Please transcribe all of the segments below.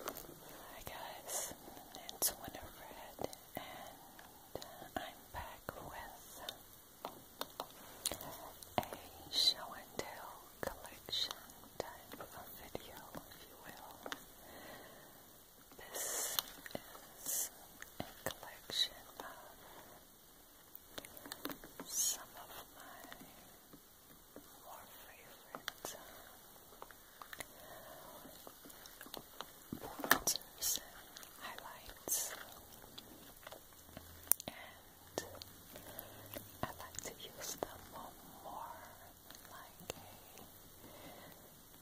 Hi guys, it's Winifred and I'm back with a show and tell collection type of video, if you will. This is a collection of some of my Warm fragrance. Bronzers and And I like to use them more like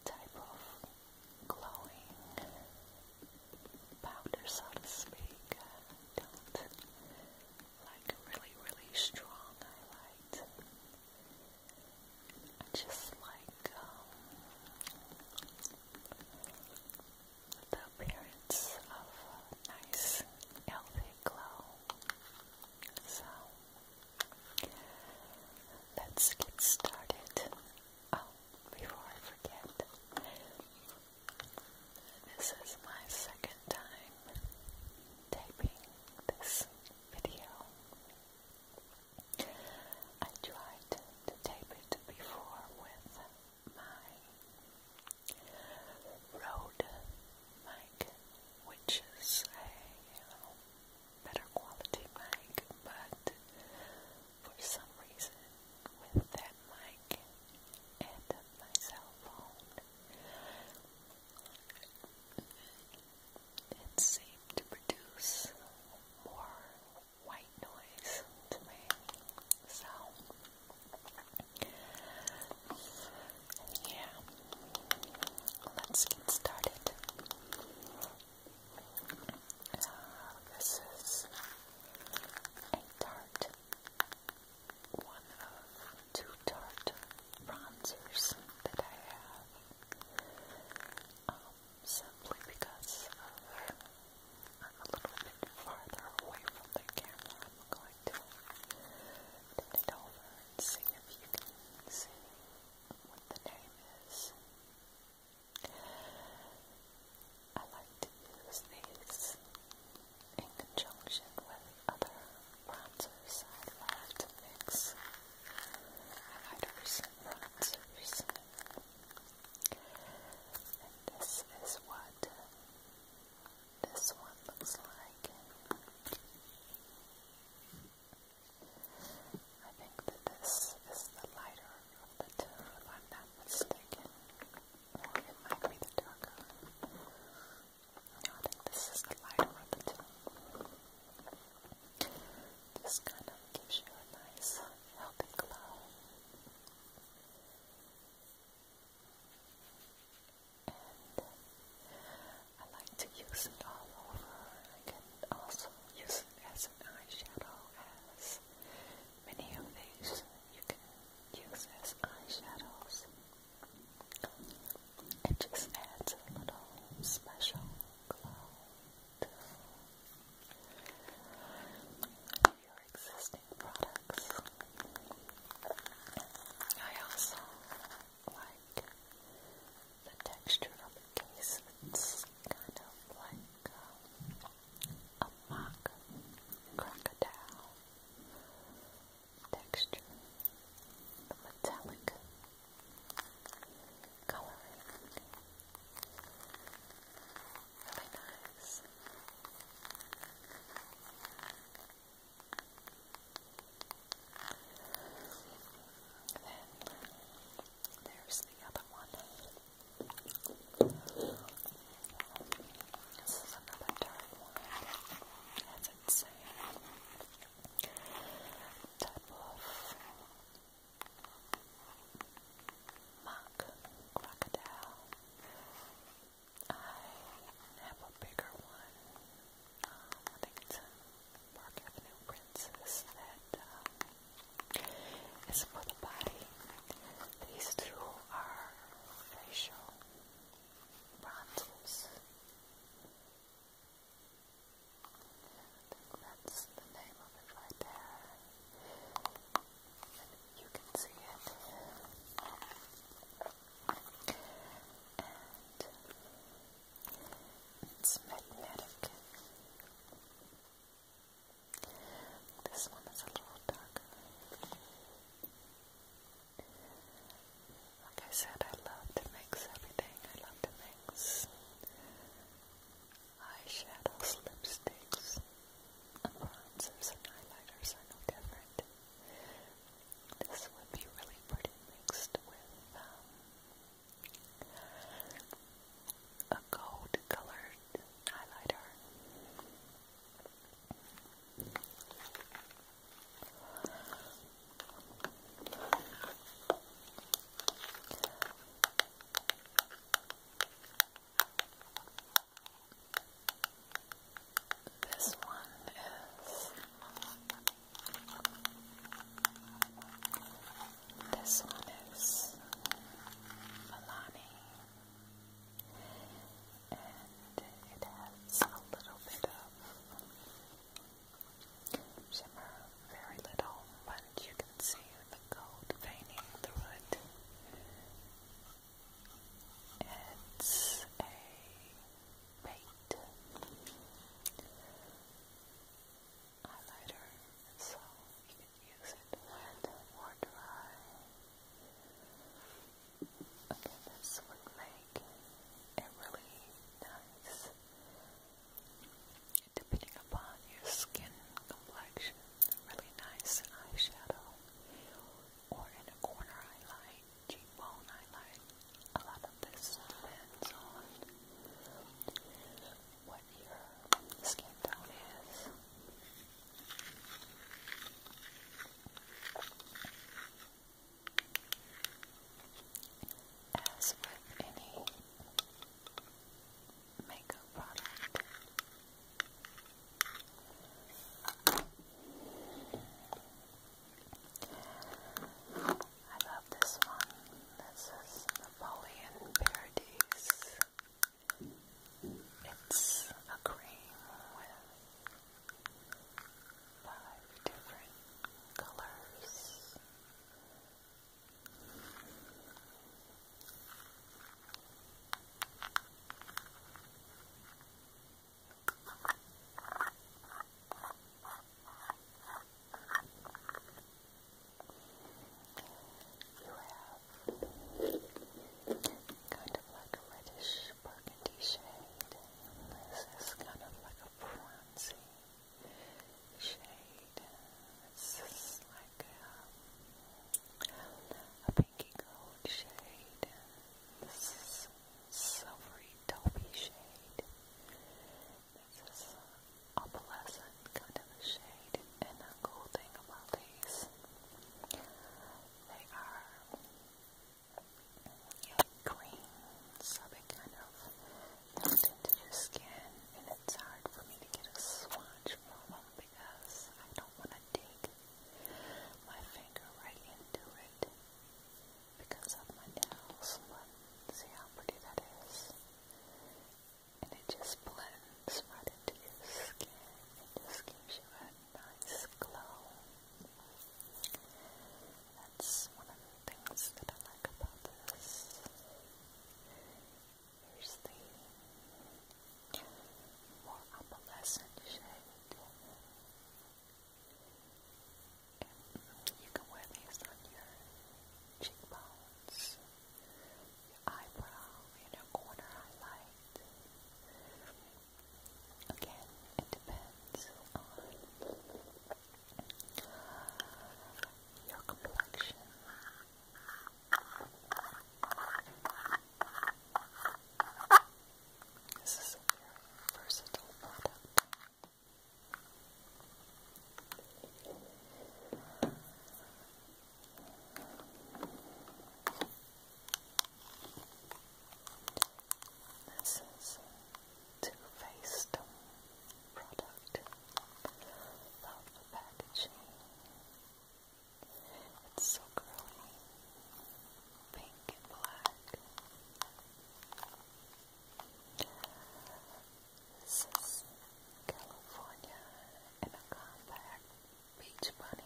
type of glowing powder, so to speak. don't like really, really strong highlight. Just like um, the appearance of nice, healthy glow. So let's get started. Oh, before I forget, this is my second time taping this video. I tried to, tape it before with my Rode mic, which is a you know, better quality mic, but for some reason with that mic and my cell phone, it seemed to produce more white noise to me. So, yeah, let's get started. Uh, this is a tart, one two Tarte bronzers that I have um, simply because of, I'm a little bit farther away from the camera. I'm going to turn it over and see if you can see what the name is. I like to use these in conjunction with other bronzers I love mix. I had a recent bronzer recently. And this is what this one looks like. I think that this is the lighter of the two, if I'm not mistaken. Or it might be the darker. I think this is the lighter of the two. This kind of gives you a nice, helping glow. And I like to use it all over. I can also use it as an eyeshadow, as many of these you can use as eyeshadows. It just adds a little special glow to your existing products. I also like the texture of the case. It's kind of like um, a mock crocodile texture, the metallic coloring. Really nice. Then there's the other one. This is another dark one. That's insane type of crocodile. I have a bigger one. Um, Park Avenue Princess that um, is These two are facial bronzes that's the name of it right there. You can see it. And it's magnetic. This one is a little darker. Like I said, I love to mix everything. I love to mix eyeshadows, lipsticks, and bronzers and highlighters are no different. This would be really pretty mixed with um, a gold colored highlighter. This one is this one is Milani, and it has a little bit of shimmer very little, but you can see the gold veining through it. It's a bait highlighter, so you can use it when or dry. Okay, this would make a really nice depending upon your skin complexion, really nice eyeshadow or in corner highlight, cheekbone highlight. A lot of this depends on what your skin tone is. As with any makeup product, I love this one. This is Napoleon Paradise. It's a cream with five different colors kind of like a reddish burgundy shade. This is kind of like a bronzy shade. It's like a, pinky gold shade. This silvery taupey shade. This is opalescent kind of shade. And the cool thing about these, they are green, so kind of into your skin, and it's hard for me to get a swatch from them because I don't want to dig my finger right into it because of my nails. But see how pretty that is, and it just blends right into your skin. It just gives you a nice glow that's one of the things that I like about this. Here's the more opalescent shade. you can wear these on your cheekbones, your eyebrow, you know, corner highlight. Again, it depends on your complexion. This is a very product. This is two-faced product. the packaging. It's so girly. Pink and black. This is California in a compact beach bunny.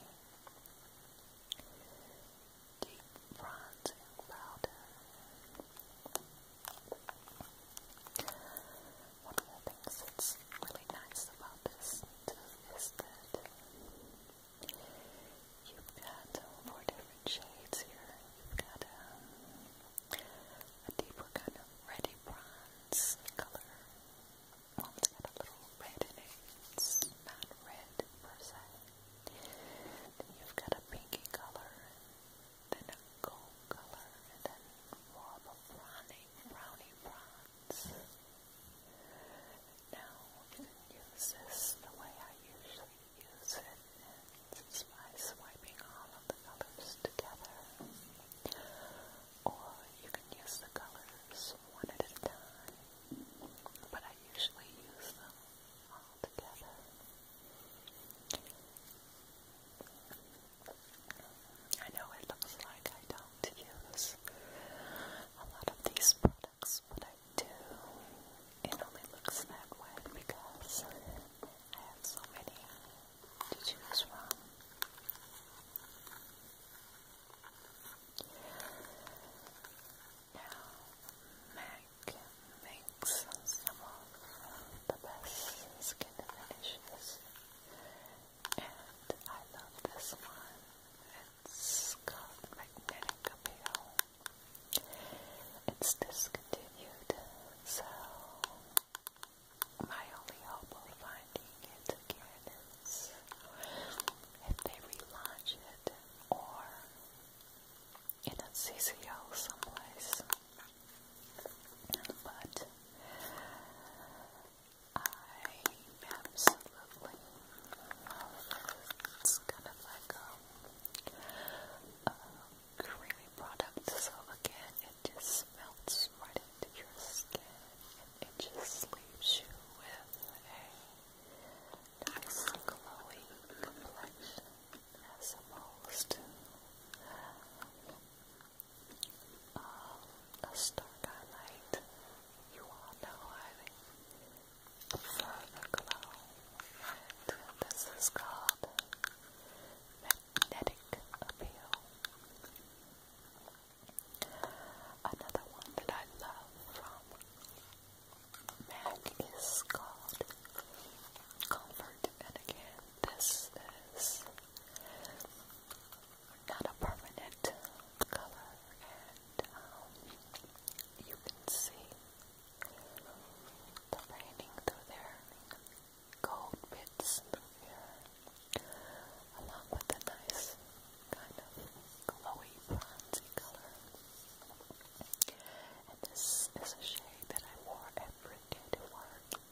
Deep bronzing powder. One of the that's really nice about this is that you've got uh, four different shades here. You've got um, a deeper kind of reddy bronze color. Well, it got a little red in red you've got a pinky color then a gold color, and then more of a brownie, brownie bronze. Now you can use this the way I usually use it, and it's by swiping all of the colors together. Or you can use the colors one at a time, but I usually use them all together. I know it looks like I don't use a lot of these products, but I do. It only looks that way because I have so many to choose from. Now, MAC makes some of the best skin finishes. And I love this one. It's called Magnetic Appeal. It's discontinued, so my only hope of finding it again is if they relaunch it or in a CCL someplace. But I absolutely love It's kind of like a, creamy product. So again, it just melts right into your skin. And it just leaves you with a nice glowy complexion as opposed to um, uh, a You all know I prefer the glow, and this is called magnetic appeal. Another one that I love from MAC is called Comfort, and again, this is not a permanent color, and um, you can see the painting through there, gold bits along with a nice kind of glowy bronzy color. And this is a shade that I wore every day to work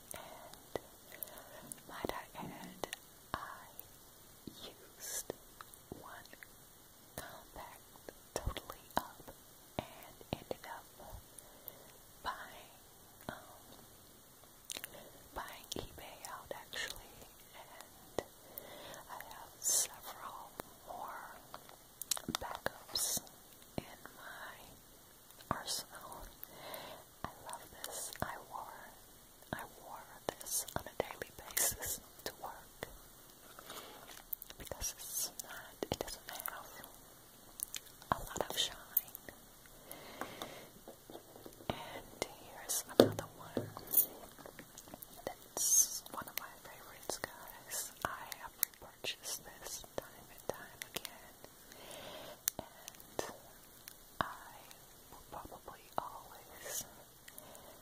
and my dark and I used one compact totally up and ended up buying um buying eBay out actually and I have several more backups in my Arsenal. I love this. I wore I wore this on a daily basis to work because it's not it doesn't have a lot of shine. And here's another one that's one of my favorites guys. I purchase this time and time again, and I will probably always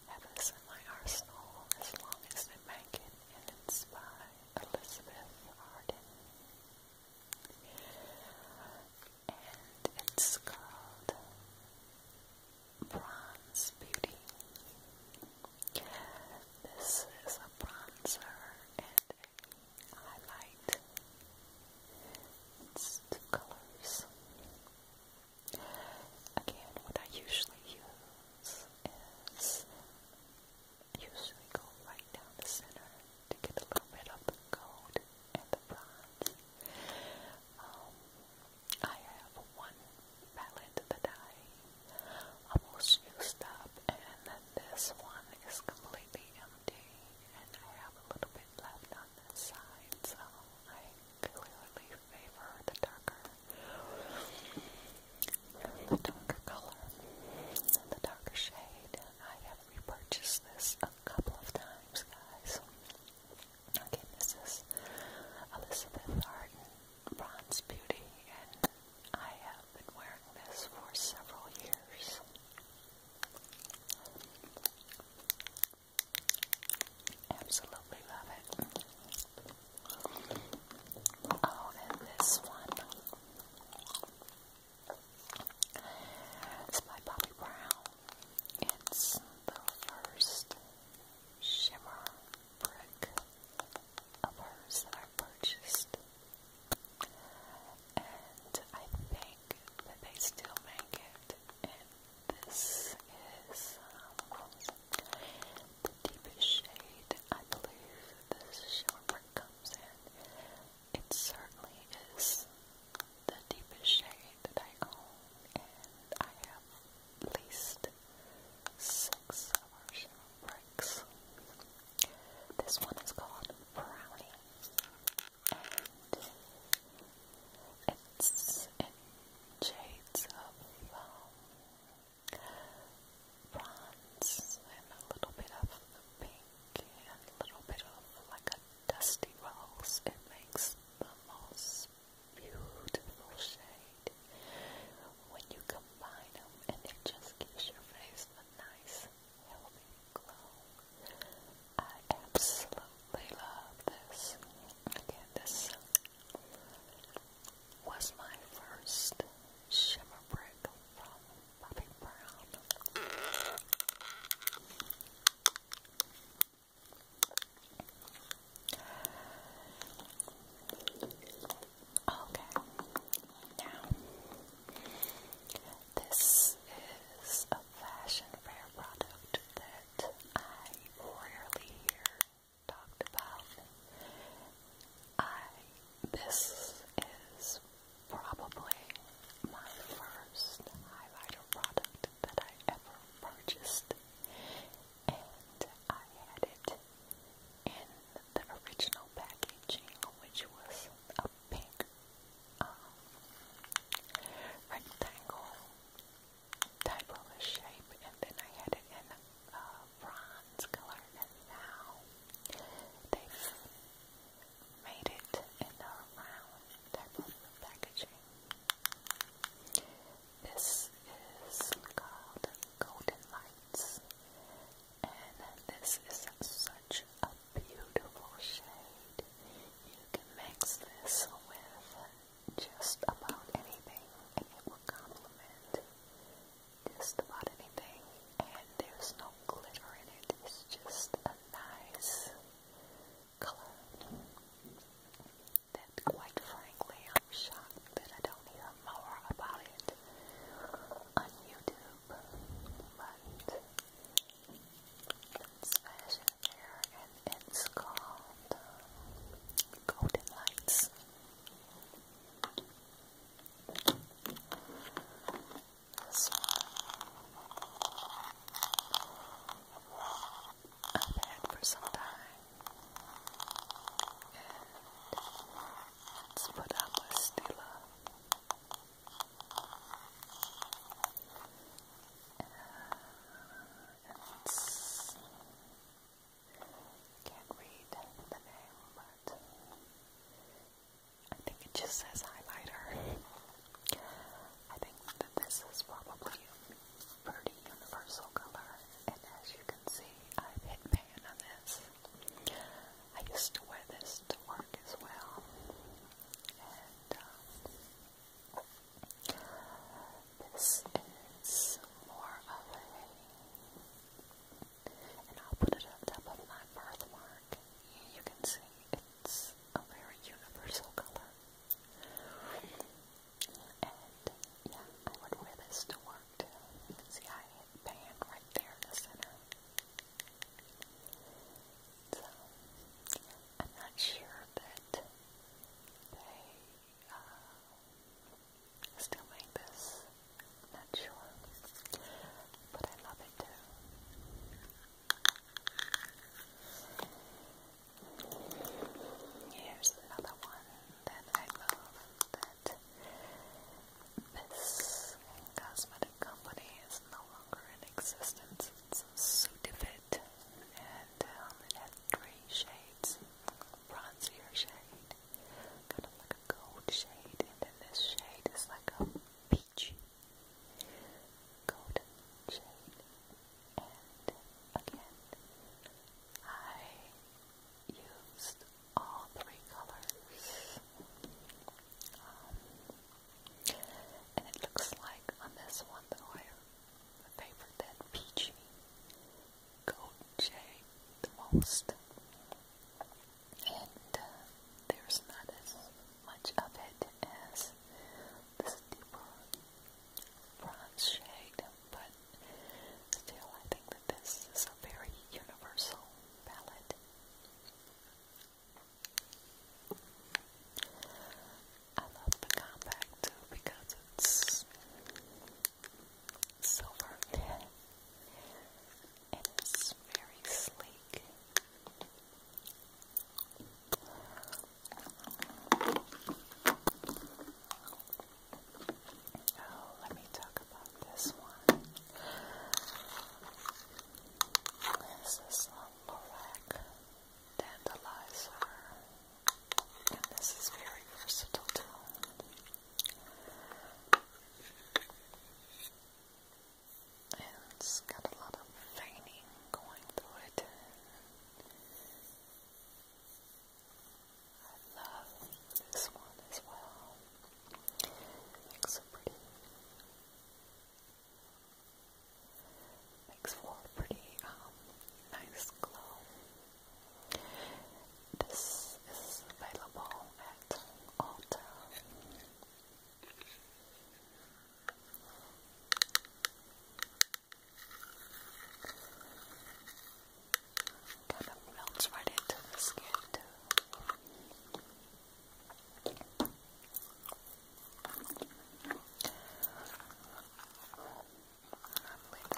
have this in my arsenal as long as they make and it's by Elizabeth Arden. And it's called Bronze Beauty. This is a bronzer, and highlight. It's colors. Again, what I usually use is usually go right down the center to get a little bit of the gold and the bronze. Um, I have one palette that I almost used up, and this one is completely empty, and I have a little bit left on this side, so I clearly favor the darker, the darker color, and the darker shade. I have repurchased this a couple of times, guys. Okay, this is Elizabeth Arden Bronze Beauty, and I have been wearing this for several years. Absolutely love it. Oh, and this one. It's by Bobbi Brown. It's the first shimmer brick of hers are purchased. And I think that they still make it. And this is um, the deepest shade I believe this shimmer comes in. It certainly is the deepest shade that I own, and I have at least six of our shimmer bricks. This one is called Brownie, and it's shades of um, bronze and a little bit of pink and a little bit of like a dusty rose. It makes the most beautiful shade when you combine them, and it just gives your face a nice. I absolutely love this. Again, this was my first shimmer brick from Bobbi Brown. Okay, now this is a fashion fair product that I rarely hear talked about. I this is probably my first highlighter product that I ever purchased and I had it in the original packaging which was a big um, rectangle type of shape, and then I had it in a uh, bronze color, and now they've made it in a round type of packaging. This is called Golden Lights. And this is such a beautiful shade. You can mix this with just about anything and it will complement just about anything. And there's no glitter in it, it's just a nice color that quite frankly I'm shocked that I don't hear more about it on YouTube but it's fashion there and it's called Golden Lights. I've had for some time, and it's put out by Stila. Uh, it's, can't read the name, but I think it just says highlighter. I think that this is probably a pretty universal color, and as you can see, I've hit pan on this. I used to wear this to work as well, and um, this is more of a, and I'll put it on top of my birthmark. You can see it's a very universal color. And yeah, I would wear this to work too. You can see I hit band right there in the center. So, I'm not sure, but they uh, still make this. I'm not sure, but I love it too. Here's another one that I love that this cosmetic company is no longer in existence. It's Sudafed, and um, it three shades: bronzier shade, kind of like a gold shade, and then this shade is like a peachy golden shade. And again, I used all three colors. Um, and it looks like on this one the oil, the that peachy gold shade the most. And uh, there's not as much of it as this deeper bronze shade, but still I think that this is a very universal palette. I love the compact too because it's silver and it's very sleek. Oh, let me talk about this one. This is a Lorac Dandelizer, and this is very versatile too. it's got a lot of veining going through it. I love this one as well. It makes pretty Makes for a pretty um, nice glow. This is available at Ulta. Kind of melts right into the skin too. I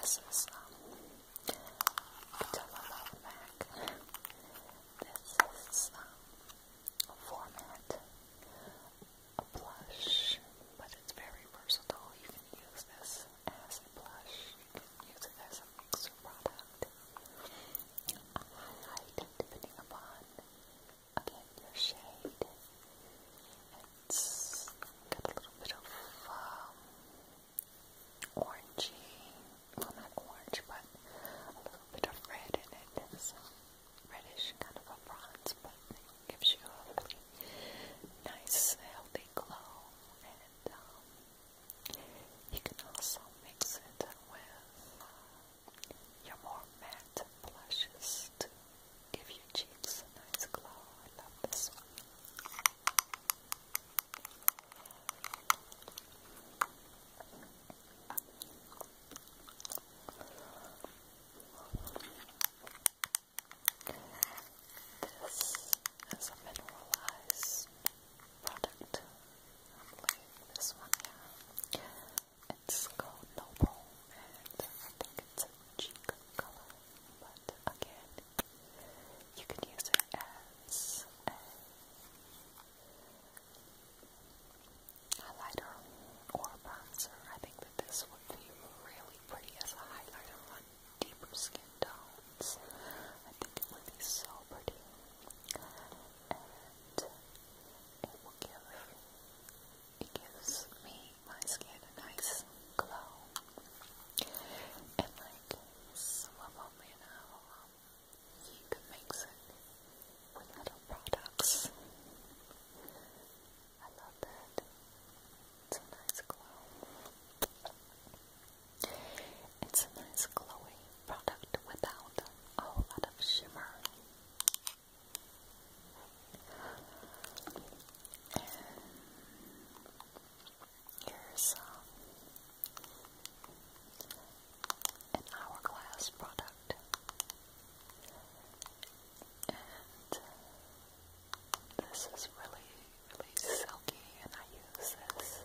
this is um, Patella Love This is um, a format, blush, but it's very versatile. You can use this as a blush, use it as a mixer product, a highlight, depending upon again It's got a little bit of um, orangey, well not orange, but a little bit of red in It's reddish, kind of a bronze, but gives you a really nice, healthy glow. And um, you can also mix it with uh, your more matte blushes to give your cheeks a nice glow. I love this one. This is a mineralized product. this one down. It's called Noble, and I think it's a cheek color, but again, you can use it as a highlighter or a bronzer. I think that this would be really pretty as a highlighter on deeper skin tones. I think it would be so pretty it gives me my skin a nice glow. And like some of you know, um, you can mix it with other products. I love that. It's a nice glow. It's a nice glowy product without a whole lot of shimmer. And here's um, an hourglass product. And this is really, really silky, and I use this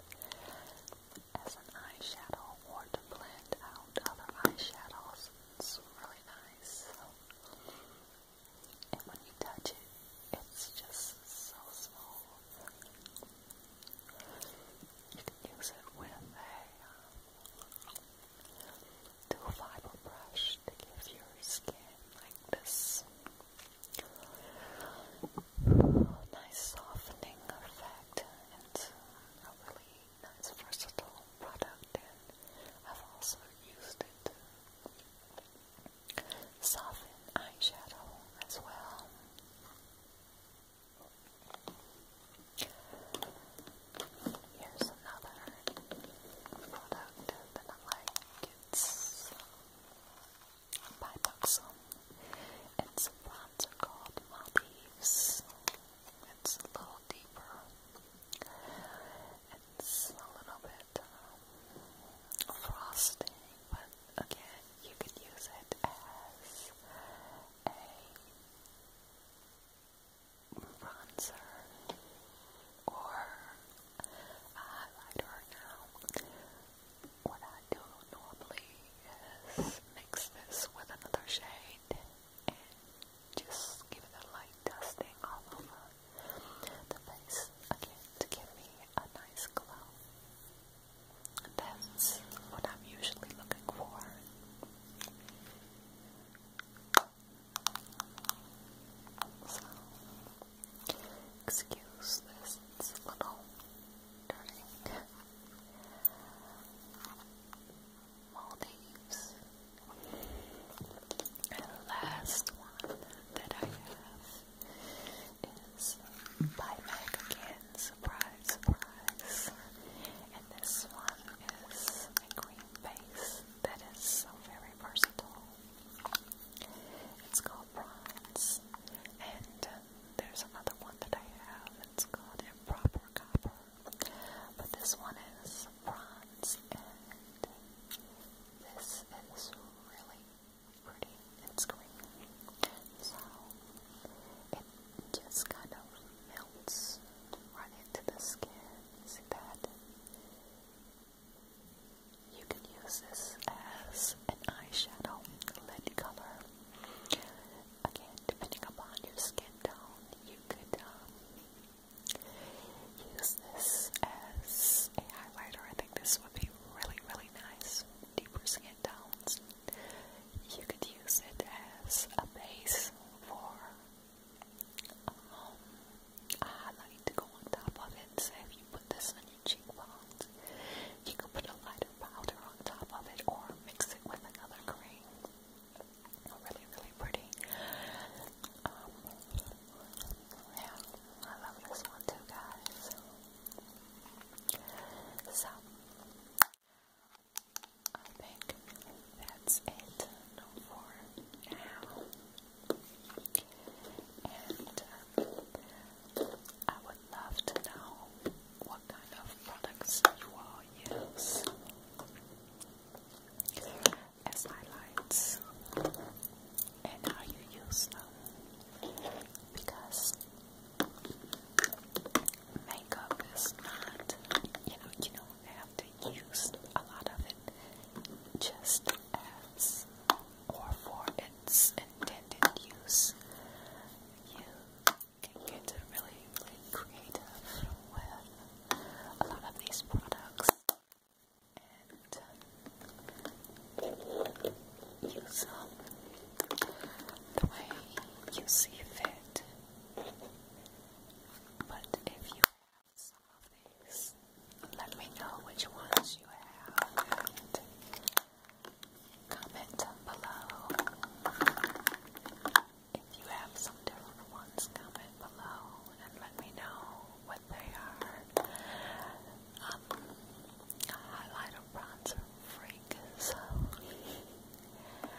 as an eyeshadow or to blend out other eyeshadows. It's really nice. And when you touch it, it's just so smooth. You can use it with a um, dual fiber brush to give your skin like this nice softening effect, and uh, really nice versatile product and I've also used it to soften eyeshadow as well. Here's another product that I like. It's by uh, Buxom. It's a bronzer called Maldives. It's a little deeper. It's a little bit um, frosty, but again, you could use it as a bronzer or a highlighter. Now, what I do normally is mix this with another shade and just give it a light dusting all over the face to give me a nice glow. That's what I'm usually looking for. So, excuse this, little dirty. Maldives. And last one that I have is by Mac Surprise, surprise. And this one is a green base that is so very versatile. It's called Bronze. And there's another one that I have. It's called Improper Copper. But this one is bronze and this is really pretty It's green, So it just kind of melts right into the skin. See that? You can use this as an eyeshadow lid color again, depending upon your skin tone, you could um, use this as a highlighter. I think this would be really, really nice. Deeper skin tones. You could use it as a base for um, a highlight to on top of it. So if you put this on your cheekbones, you could put a lighter powder on top of it or mix it with another cream. Really, really pretty. Um, yeah, I love this one too, guys. So, I think that's it for now. And um, I would love to know what kind of products you use as highlights and how you use them because makeup is not, you know, you don't have to use a lot of it just as or for its intended use. You can get really, really creative with a lot of these products and use them the way you see fit. But if you have some of these, let me know which ones you have comment below. If you have some different ones, comment below and let me know what they are. Um, a highlighter bronzer freak, so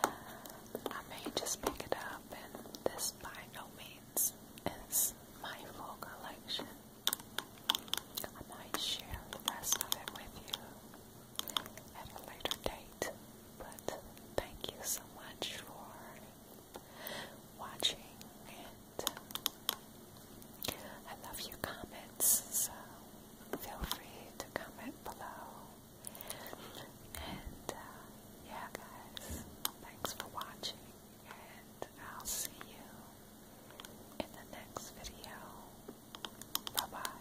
I may just pick it up, and this by no means is my full collection. I might share the rest of it with you at a later date. But thank you so much for watching, and I love your comments, so feel free to comment below. And uh, yeah, guys, thanks for watching, and I'll see you in the next video. Bye bye.